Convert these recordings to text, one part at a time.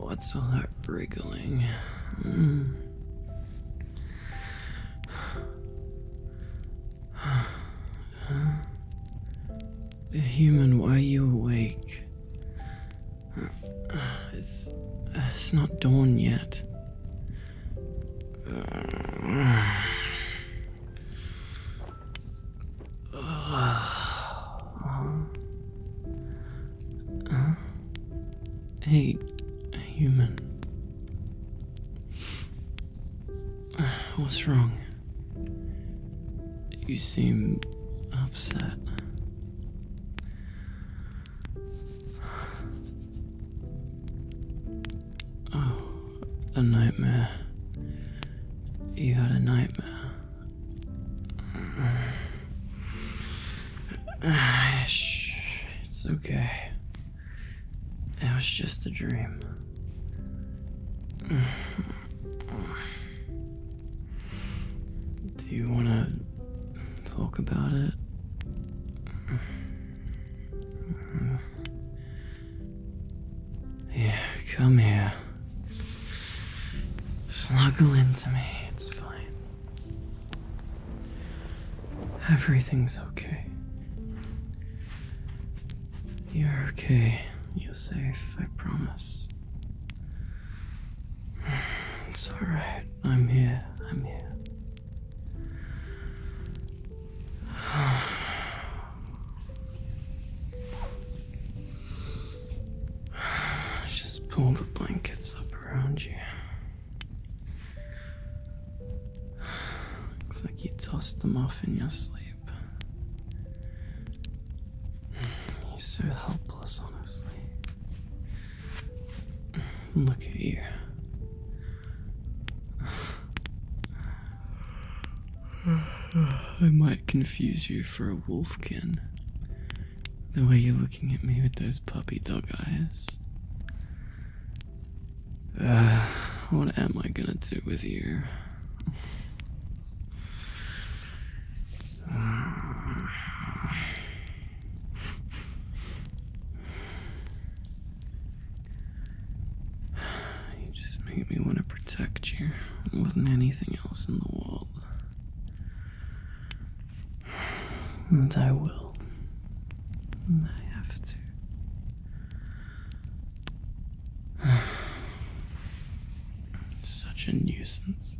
what's all that wriggling? Mm. human, why are you awake? It's, it's not dawn yet. Hey, uh, uh, human. What's wrong? You seem upset. Oh, a nightmare. You had a nightmare. It's okay. It was just a dream. Do you want to talk about it? Yeah, come here. Snuggle into me, it's fine. Everything's okay. You're okay. You're safe, I promise. It's alright. I'm here. I'm here. Just pull the blankets up around you. Looks like you tossed them off in your sleep. You're so helpless, honestly. Look at you. I might confuse you for a wolfkin. The way you're looking at me with those puppy dog eyes. Uh, what am I gonna do with you? You just make me want to protect you more than anything else in the world. And I will. I have to. Such a nuisance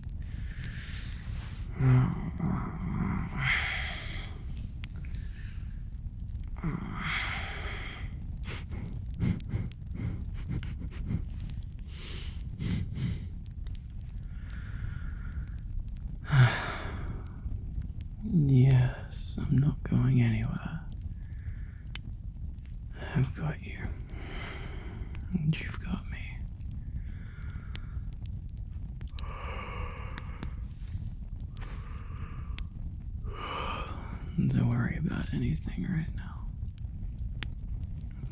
yes, I'm not going anywhere. I've got you, and you've got me. Don't worry about anything right now.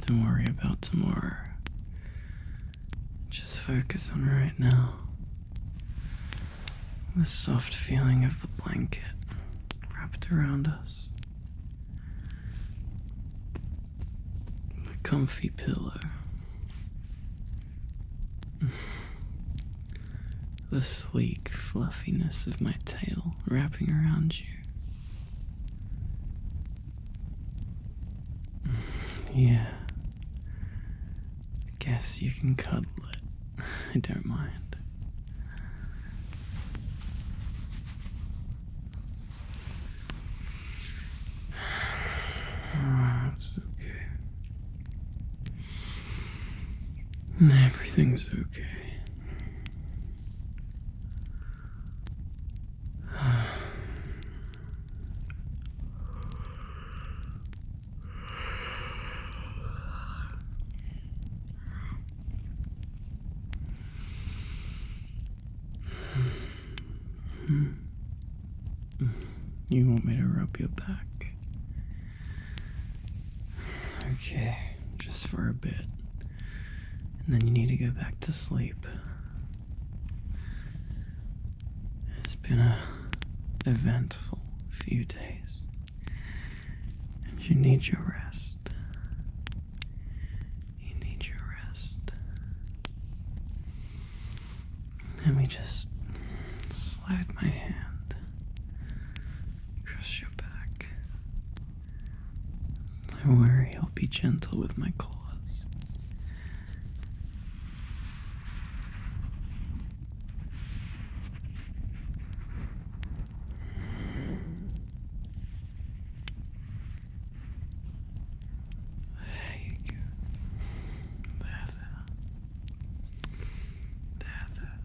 Don't worry about tomorrow. Just focus on right now. The soft feeling of the blanket wrapped around us. The comfy pillow. the sleek fluffiness of my tail wrapping around you. yeah. Guess you can cuddle it. I don't mind. It's okay. Everything's okay. Hmm. You want me to rub your back? Okay, just for a bit. And then you need to go back to sleep. It's been a eventful few days. And you need your rest. You need your rest. Let me just slide my hand across your back. Don't worry, I'll be gentle with my claws. Hej Därför. Därför.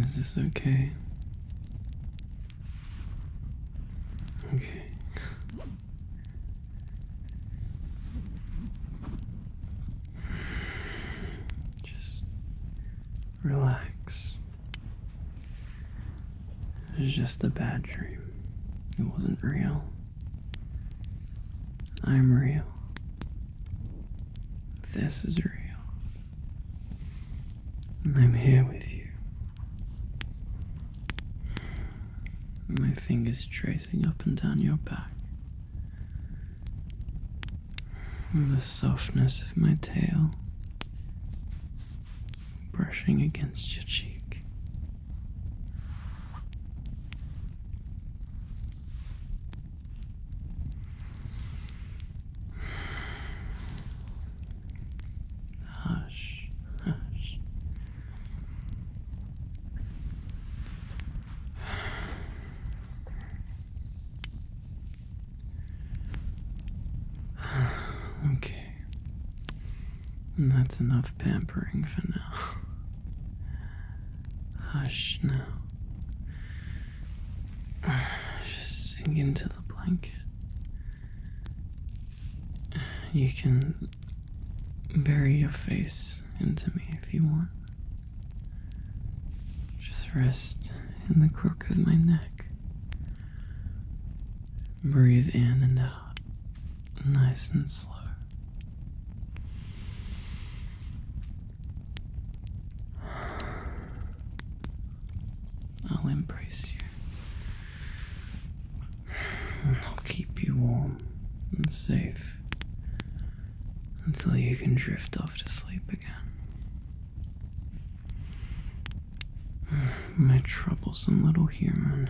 Is this okay? Okay. Just relax. It was just a bad dream. It wasn't real. I'm real. This is real. And I'm here with you. My fingers trace up and down your back. the softness of my tail brushing against your cheek. Hush, hush. okay. That's enough pampering for now. Hush now. sink into the blanket. You can bury your face into me if you want. Just rest in the crook of my neck. Breathe in and out, nice and slow. I'll embrace you I'll keep you warm and safe until you can drift off to sleep again. My troublesome little human.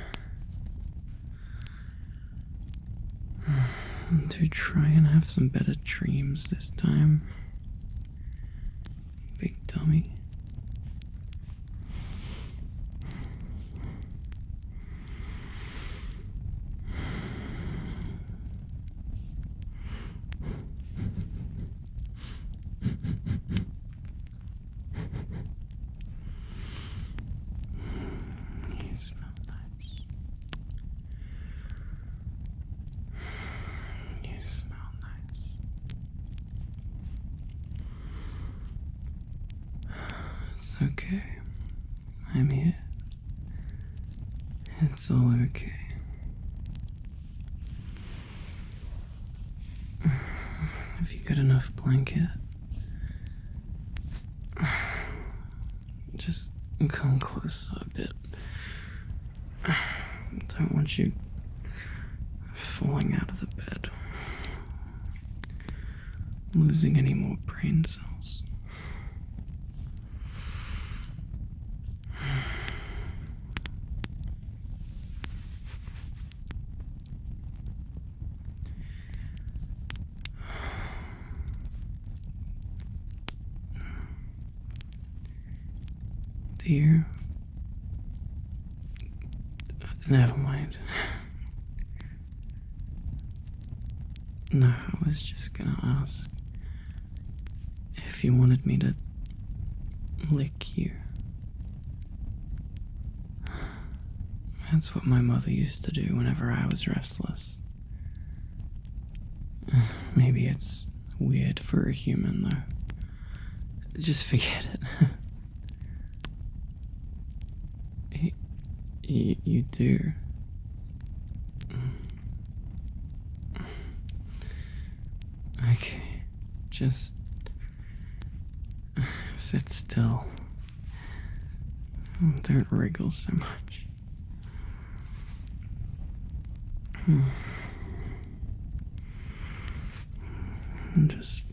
To try and have some better dreams this time. Big dummy. You smell nice. You smell nice. It's okay. I'm here. It's all okay. Have you got enough blanket? Just come closer a bit. Don't want you falling out of the bed losing any more brain cells. Dear Never mind. No, I was just gonna ask if you wanted me to lick you. That's what my mother used to do whenever I was restless. Maybe it's weird for a human, though. Just forget it. you, you do. Okay, just sit still. Don't wriggle so much. Hmm. Just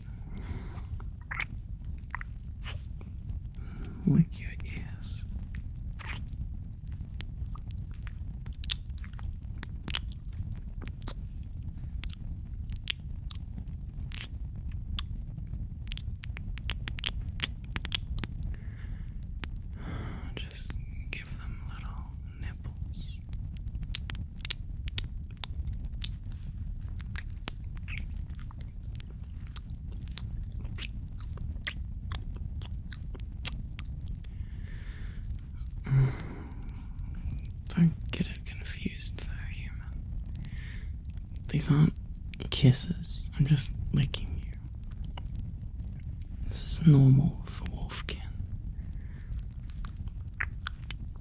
Lick your ears. Just give them little nipples. Mm. Don't get it confused though, human. These aren't kisses. I'm just licking you. This is normal for Wolfkin.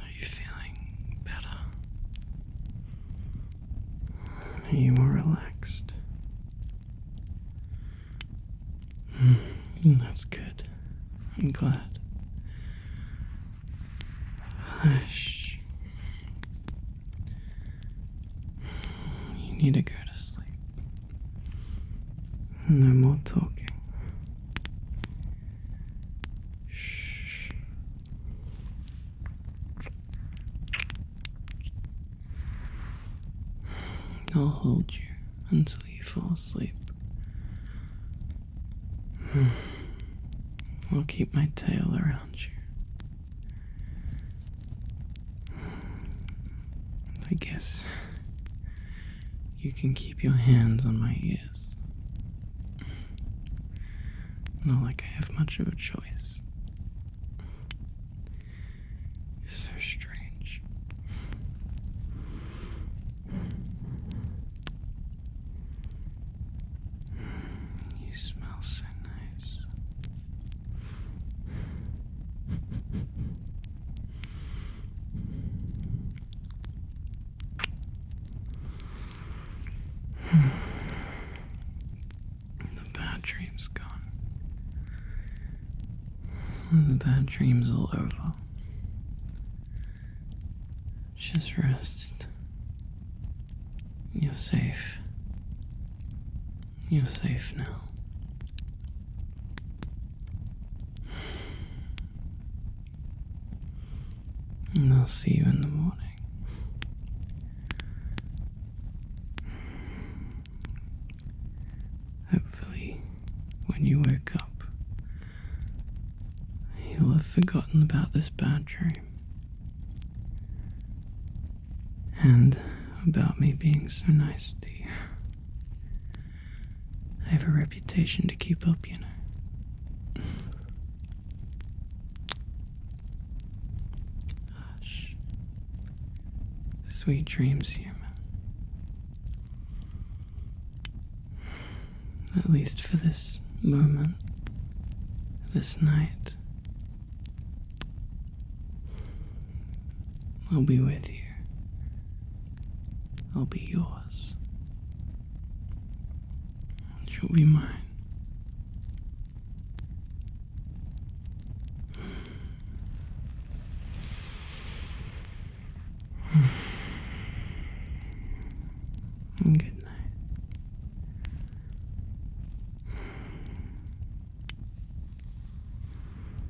Are you feeling better? you more relaxed? Hmm, that's good. I'm glad. Hush. You need to go to sleep. No more talking. Shh. I'll hold you until you fall asleep. Hmm. I'll keep my tail around you. I guess you can keep your hands on my ears. Not like I have much of a choice. It's so strange. You smell so nice. The bad dream gone. The bad dream's all over. Just rest. You're safe. You're safe now. And I'll see you in the morning. Hopefully, when you wake up, you'll have forgotten about this bad dream. And about me being so nice to you. I have a reputation to keep up, you know. Hush. Sweet dreams, human. At least for this moment, this night. I'll be with you. I'll be yours. You'll be mine. Good night.